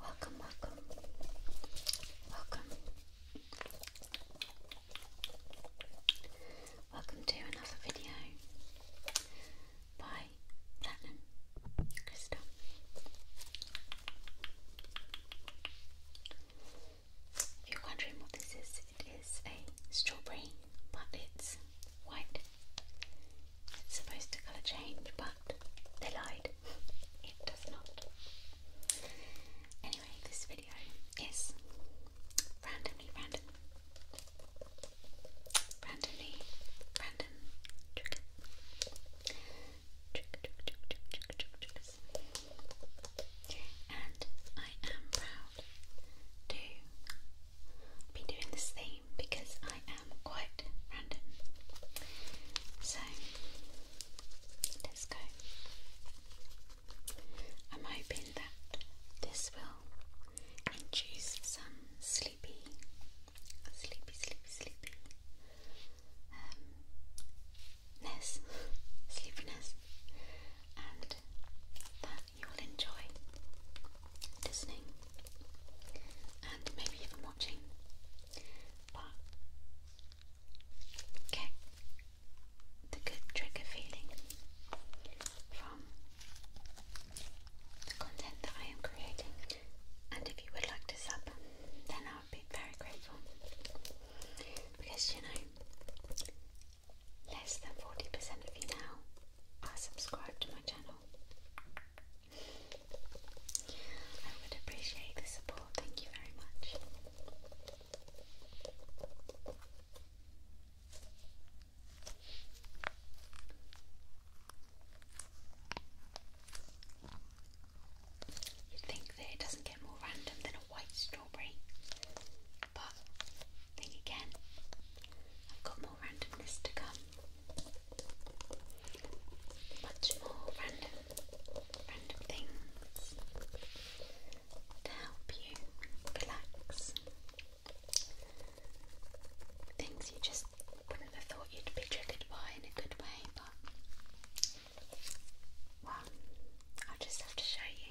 Welcome, welcome, welcome, welcome to another video by Platinum Crystal. If you're wondering what this is, it is a strawberry, but it's white it's supposed to colour change, but they lied. it does not. Anyway, this video is randomly random. Randomly random trigger. Trigger, trigger, trigger, trigger, trigger, triggers. And I am proud to be doing this thing because I am quite random. So let's go. I'm hoping that this will induce some sleepy, sleepy, sleepy, sleepy um, ness, sleepiness, and that you will enjoy listening and maybe even watching. But get the good trigger feeling from the content that I am creating. And if you would like to sub, then I would be very grateful. Because you know, less than 40% of you now are subscribed to my channel. I would appreciate the support. Thank you very much. You'd think that it doesn't get more random than a white strawberry, but think again, I've got more randomness to come. Much more random, random things to help you relax. Things you just would thought you'd be triggered by in a good way, but well, i just have to show you.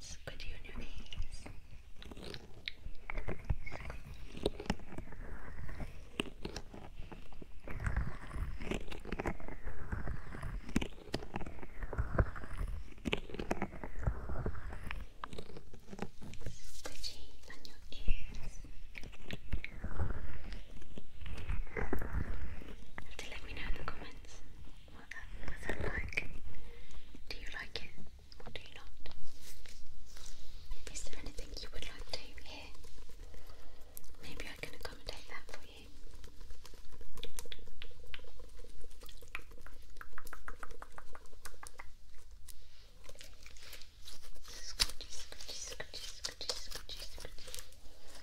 Squid you your ears. Squidgy on your ears. You have to comments what that was that like. Do you like it or do you not? Is there anything you would like to hear? Maybe I can accommodate that for you.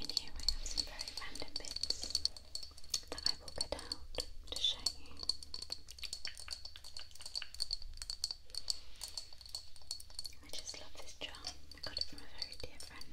And here I have some very random bits that I will get out to show you. I just love this jar. I got it from a very dear friend.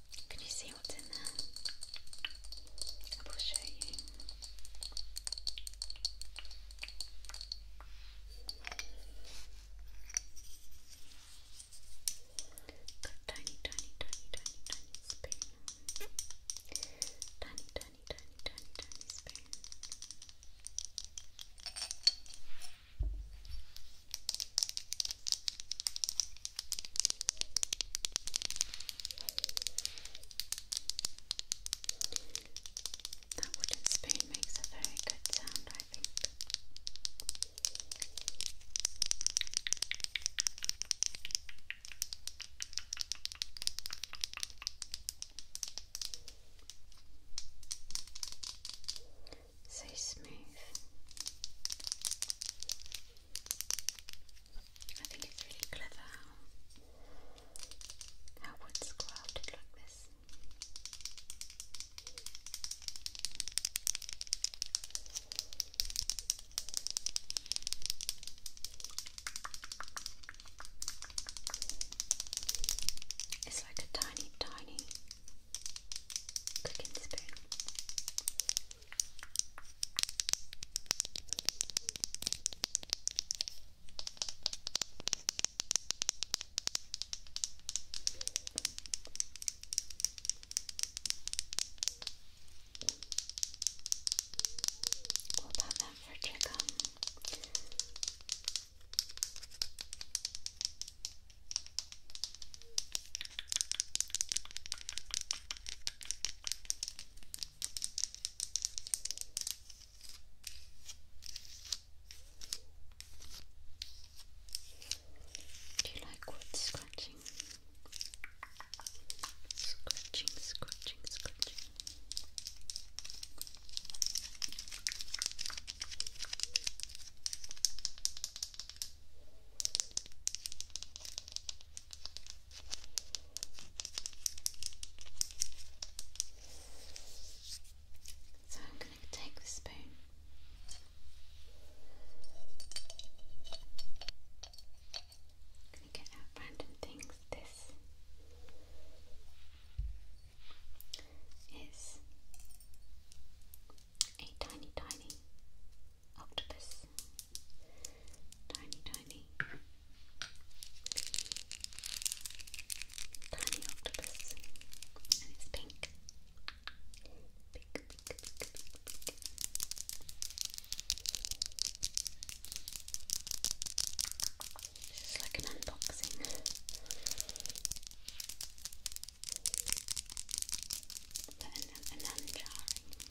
Can you see what's in there? I will show you. Got tiny, tiny, tiny, tiny, tiny spoon. Tiny, tiny, tiny, tiny, tiny spoon. That wooden spoon makes a very good sound, I think so smooth. I think it's really clever how, how wood's crafted like this. It's like a tiny, tiny cooking spoon. We'll pop that for chicken. Do you like wood scratching? Scratching, scratching, scratching. So I'm going to take the spoon. going to get out random things. This is a tiny, tiny octopus. Tiny, tiny, tiny octopus, and it's pink. Big, big, big, big, This is like an unboxing an unjarring,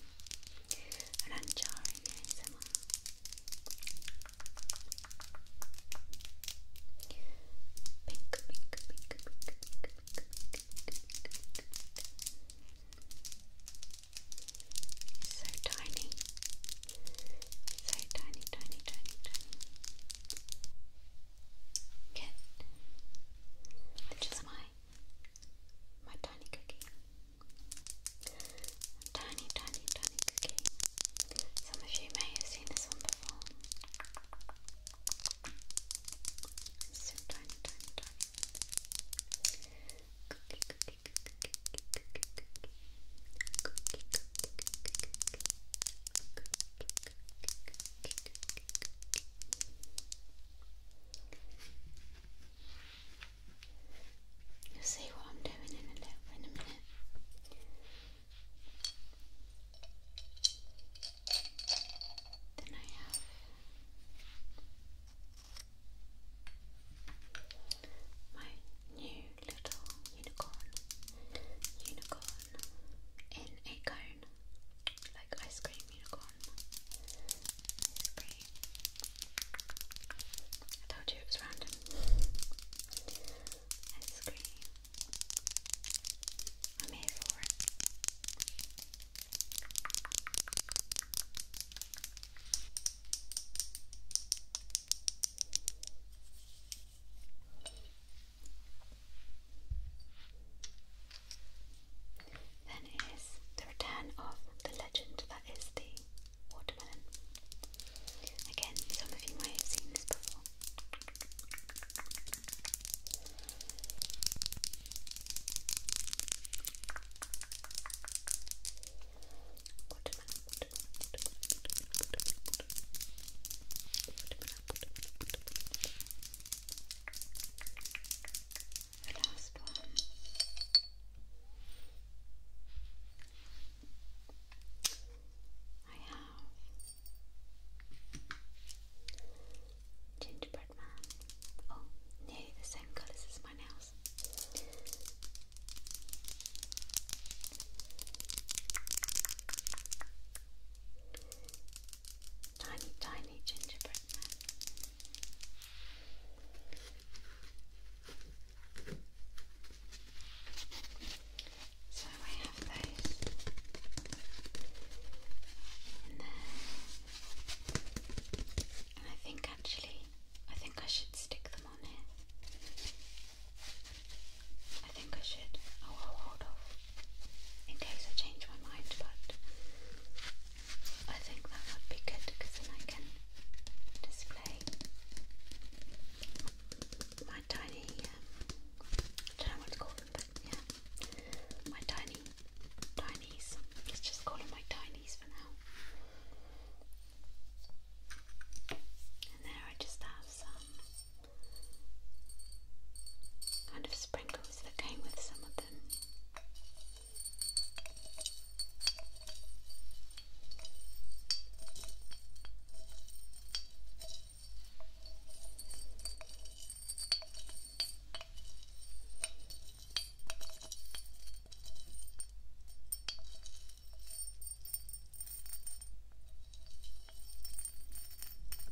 an unjarring ASMR. Pink, pink, pink, pink, pink, pink, pink, So tiny, so tiny, tiny, tiny, tiny. Good which is my my tiny cookie. Tiny, tiny, tiny cookie. Some of you may have seen this one before. tiny, tiny, tiny. cookie, cookie, cookie, cookie, cookie, cookie, cookie, cookie, cookie, You'll see what I'm doing in a little minute. Then I have my new little unicorn. Unicorn in a cone, like ice cream unicorn. Ice cream. I told you it was random. Ice cream. I'm here for it. Then is the return of the legend that is the watermelon. Again, some of you might have seen this before. The last one. I have Gingerbread Man. Oh, nearly the same colours as my nails. Tiny, tiny gingerbread So I have those in there. And I think actually, I think I should stick them on here. I think I should. Oh, hold off in case I change my mind, but I think that would be good because then I can display my tiny, um, I don't know what to call but yeah, my tiny tinies. Let's just call them my tinies for now. And there I just have some kind of sprinkle gloves that came with some of them.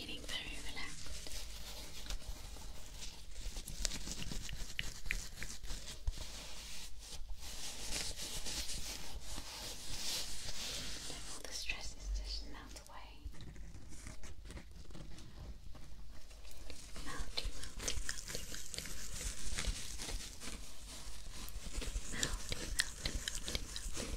feeling very relaxed. Let all the stresses just melt away. Melty, melty, melty, melty, melty. Melty, melty, melty, melty.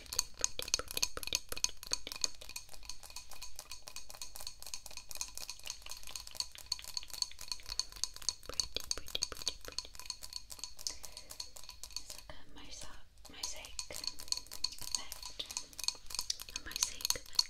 pretty, pretty, pretty, pretty, pretty, pretty. Pretty, pretty, pretty, pretty. It's like a mosaic, mosaic effect. A mosaic effect.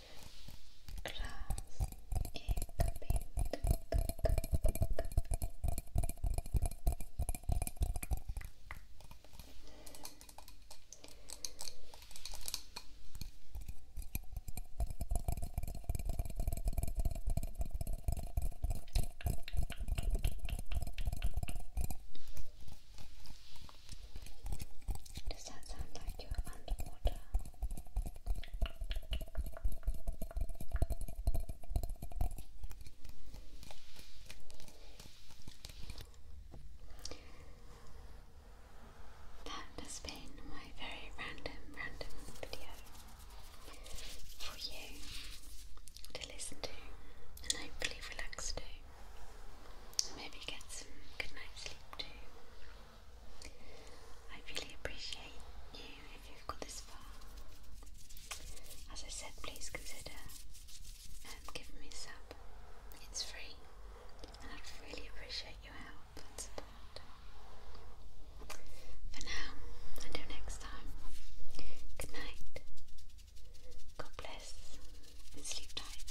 glass does that sound like you're underwater? That has been my very random, random video for you to listen to and hopefully relax to. Maybe get some good night's sleep too. I really appreciate you if you've got this far. As I said, please consider and um, give me a sub. It's free, and I'd really appreciate your help and support. For now, until next time, good night, God bless, and sleep tight.